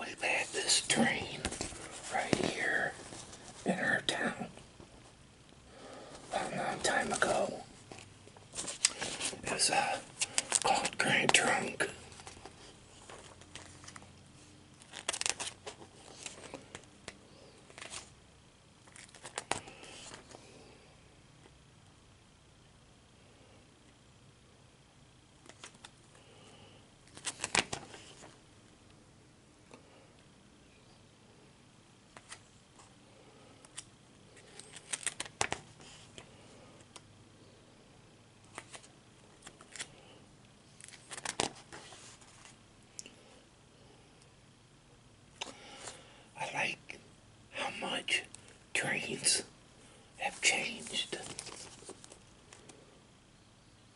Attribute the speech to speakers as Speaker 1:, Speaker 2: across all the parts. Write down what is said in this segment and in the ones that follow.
Speaker 1: We've had this train right here in our town a long time ago. It was a cold, gray, drunk. I like how much trains have changed.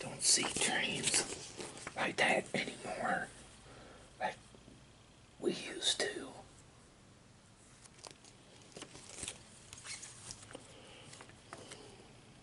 Speaker 1: don't see trains like that anymore like we used to.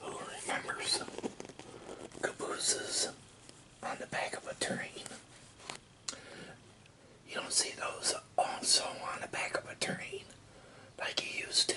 Speaker 1: Who remembers cabooses on the back of a train? You don't see those also on the back of a train like you used to.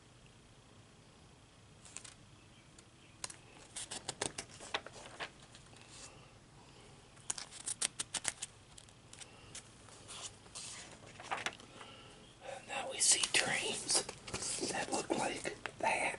Speaker 1: Now we see dreams that look like that.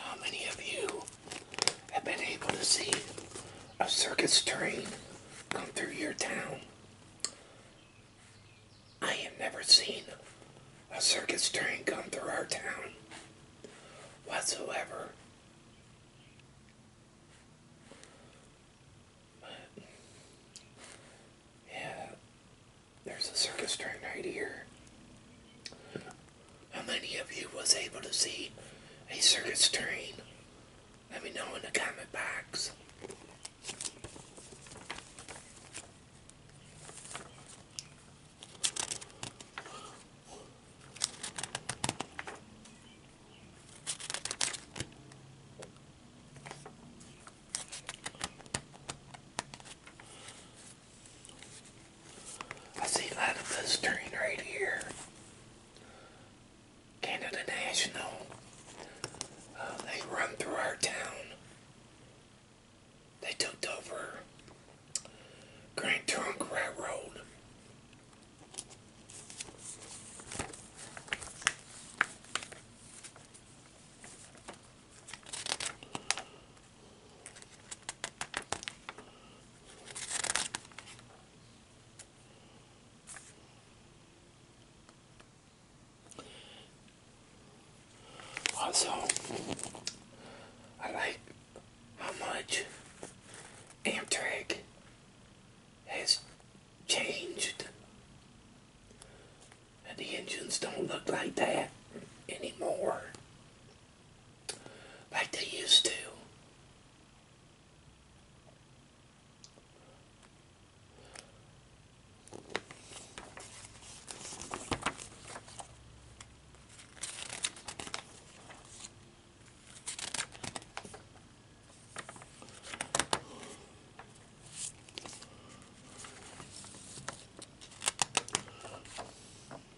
Speaker 1: How many of you have been able to see a circus train come through your town? I have never seen a circus train come through our town whatsoever. But, yeah, there's a circus train right here how many of you was able to see a circus train? Let me know in the comment box. I see a lot of blistering right here. Canada National. Uh, they run through our town. They took over Grand Trunk Railroad. Also, I like how much Amtrak has changed. And the engines don't look like that anymore like they used to.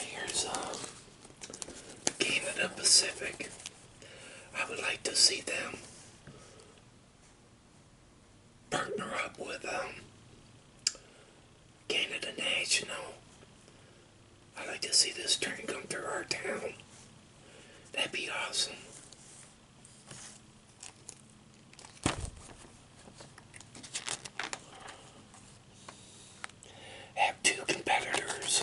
Speaker 1: here's Canada um, Pacific. I would like to see them partner up with um, Canada National. I'd like to see this train come through our town. That'd be awesome have two competitors.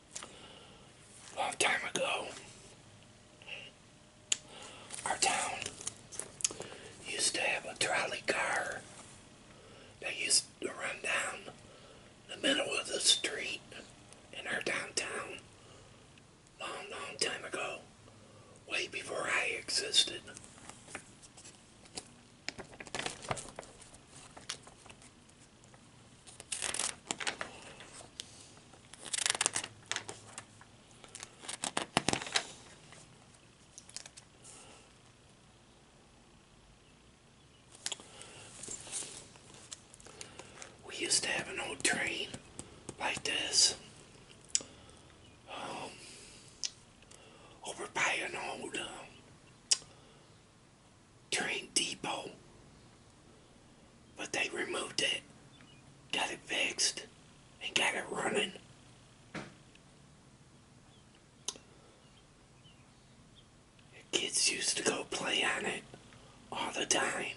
Speaker 1: long time ago, our town used to have a trolley car that used to run down the middle of the street in our downtown long, long time ago, way before I existed. We used to have an old train like this um, over by an old um, Train Depot. But they removed it, got it fixed, and got it running. The kids used to go play on it all the time.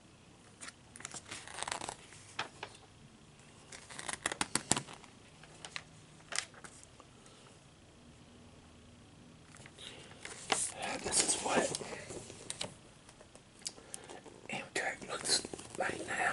Speaker 1: This is what Amtrak looks like now.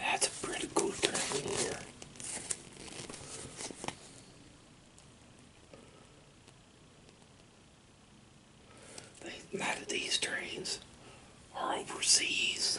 Speaker 1: that's a pretty cool train here. A lot of these trains are overseas.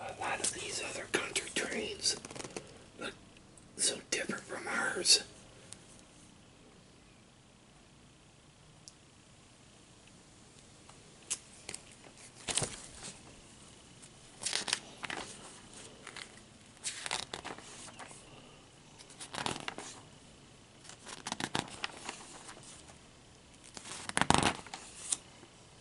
Speaker 1: A lot of these other country trains look so different from ours.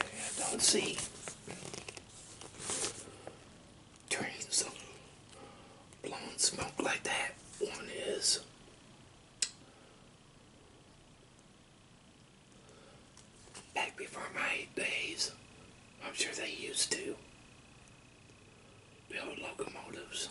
Speaker 1: I don't see trains blowing smoke like that. One is back before my days, I'm sure they used to build locomotives.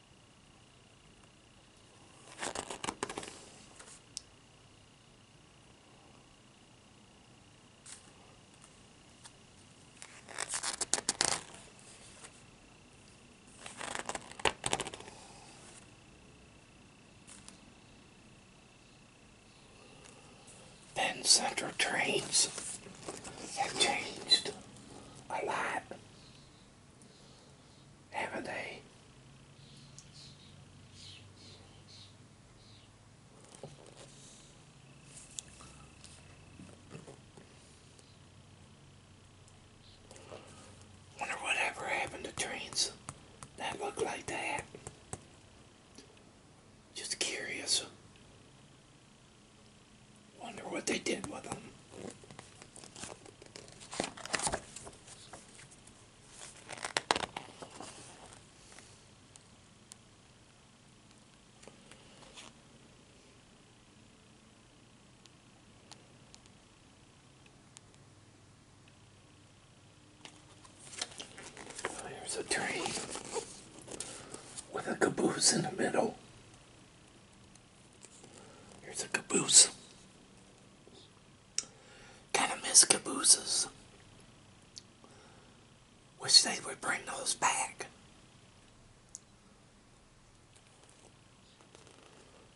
Speaker 1: Penn Central trains have changed a lot haven't they? Wonder whatever happened to trains that look like that. Just curious. Wonder what they did with them. Oh, here's a train with a caboose in the middle. Here's a caboose. Kind of miss cabooses. Wish they would bring those back.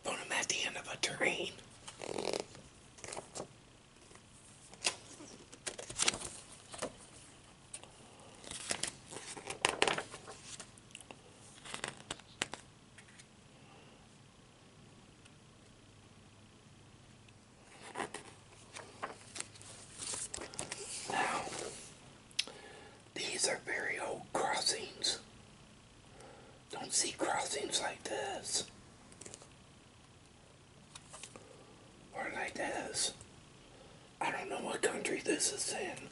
Speaker 1: Put at the end of a train. Now, these are very old crossings. Don't see crossings like this. Or like this. I don't know what country this is in.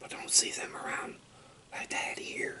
Speaker 1: But don't see them around like that here.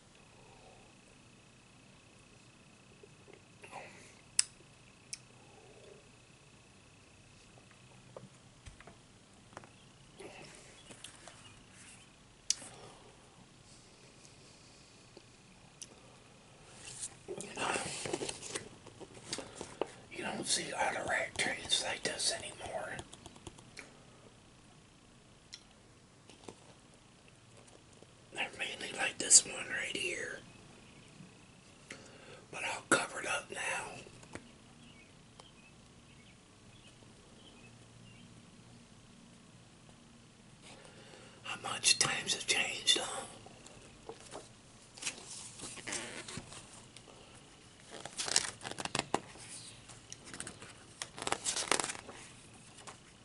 Speaker 1: You don't see a lot of rat trains like this anymore. I mainly like this one right here. But I'll up now. How much times have changed, huh?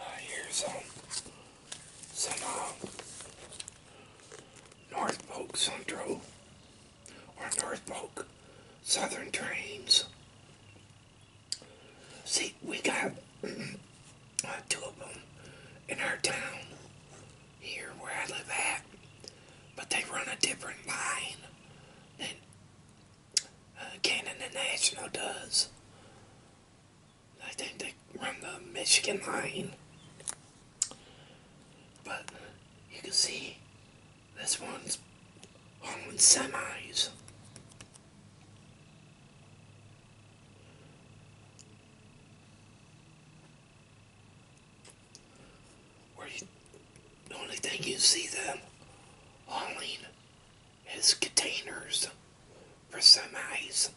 Speaker 1: Uh, here's some, some uh, North Polk Central or North Polk Southern trains. See, we got uh, two of them in our town here where I live at, but they run a different line than uh, Canada National does. I think they run the Michigan line. But you can see this one's on semis. Where you the only thing you see them hauling his containers for semis.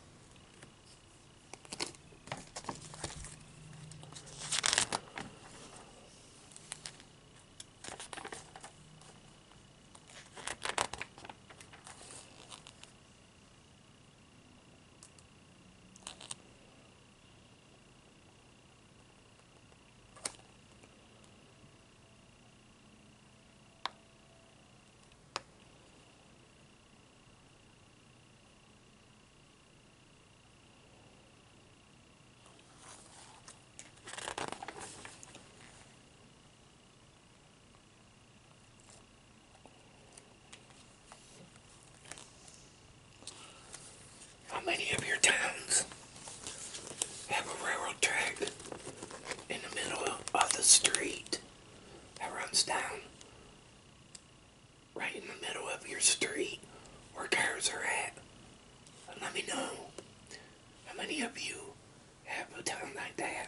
Speaker 1: How many of your towns have a railroad track in the middle of the street? that runs down right in the middle of your street where cars are at. let me know how many of you have a time like that.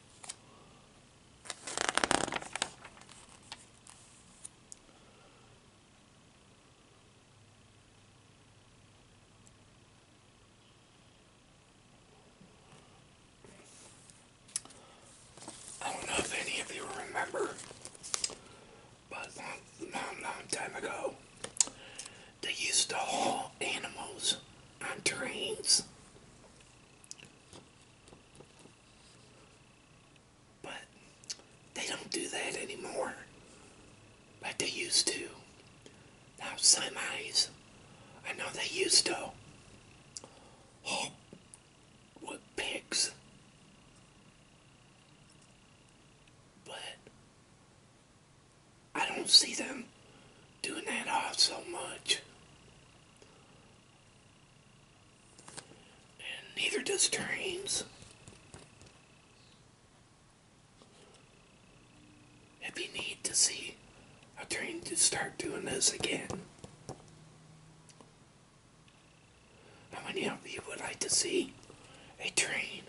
Speaker 1: I don't know if any of you remember, but long, long, long time ago, they used to haul animals on trains. But they don't do that anymore. But they used to. Now some eyes, I know they used to haul with pigs. But I don't see them doing that off so much. And neither does trains. If you need to see a train to start doing this again. How many of you would like to see a train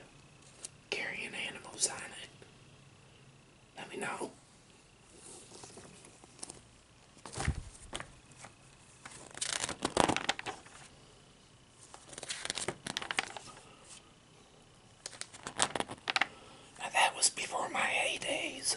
Speaker 1: carrying animals on it? Let me know that was before my heydays.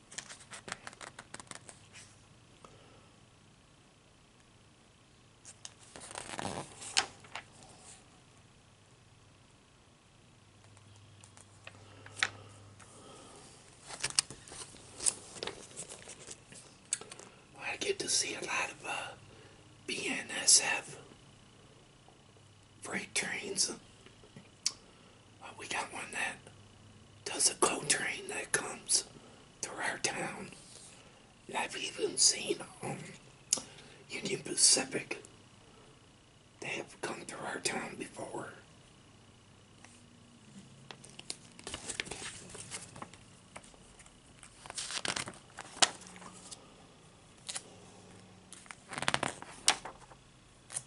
Speaker 1: I get to see a lot of uh, BNSF freight trains uh, we got one that does a coal train that comes through our town. I've even seen um, Union Pacific. They have come through our town before.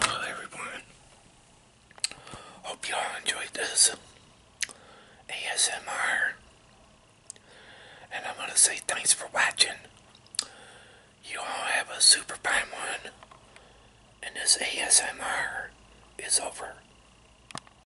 Speaker 1: Well, everyone, hope you all enjoyed this ASMR. And I'm going to say thanks for watching. You all have a super fun one. And this ASMR is over.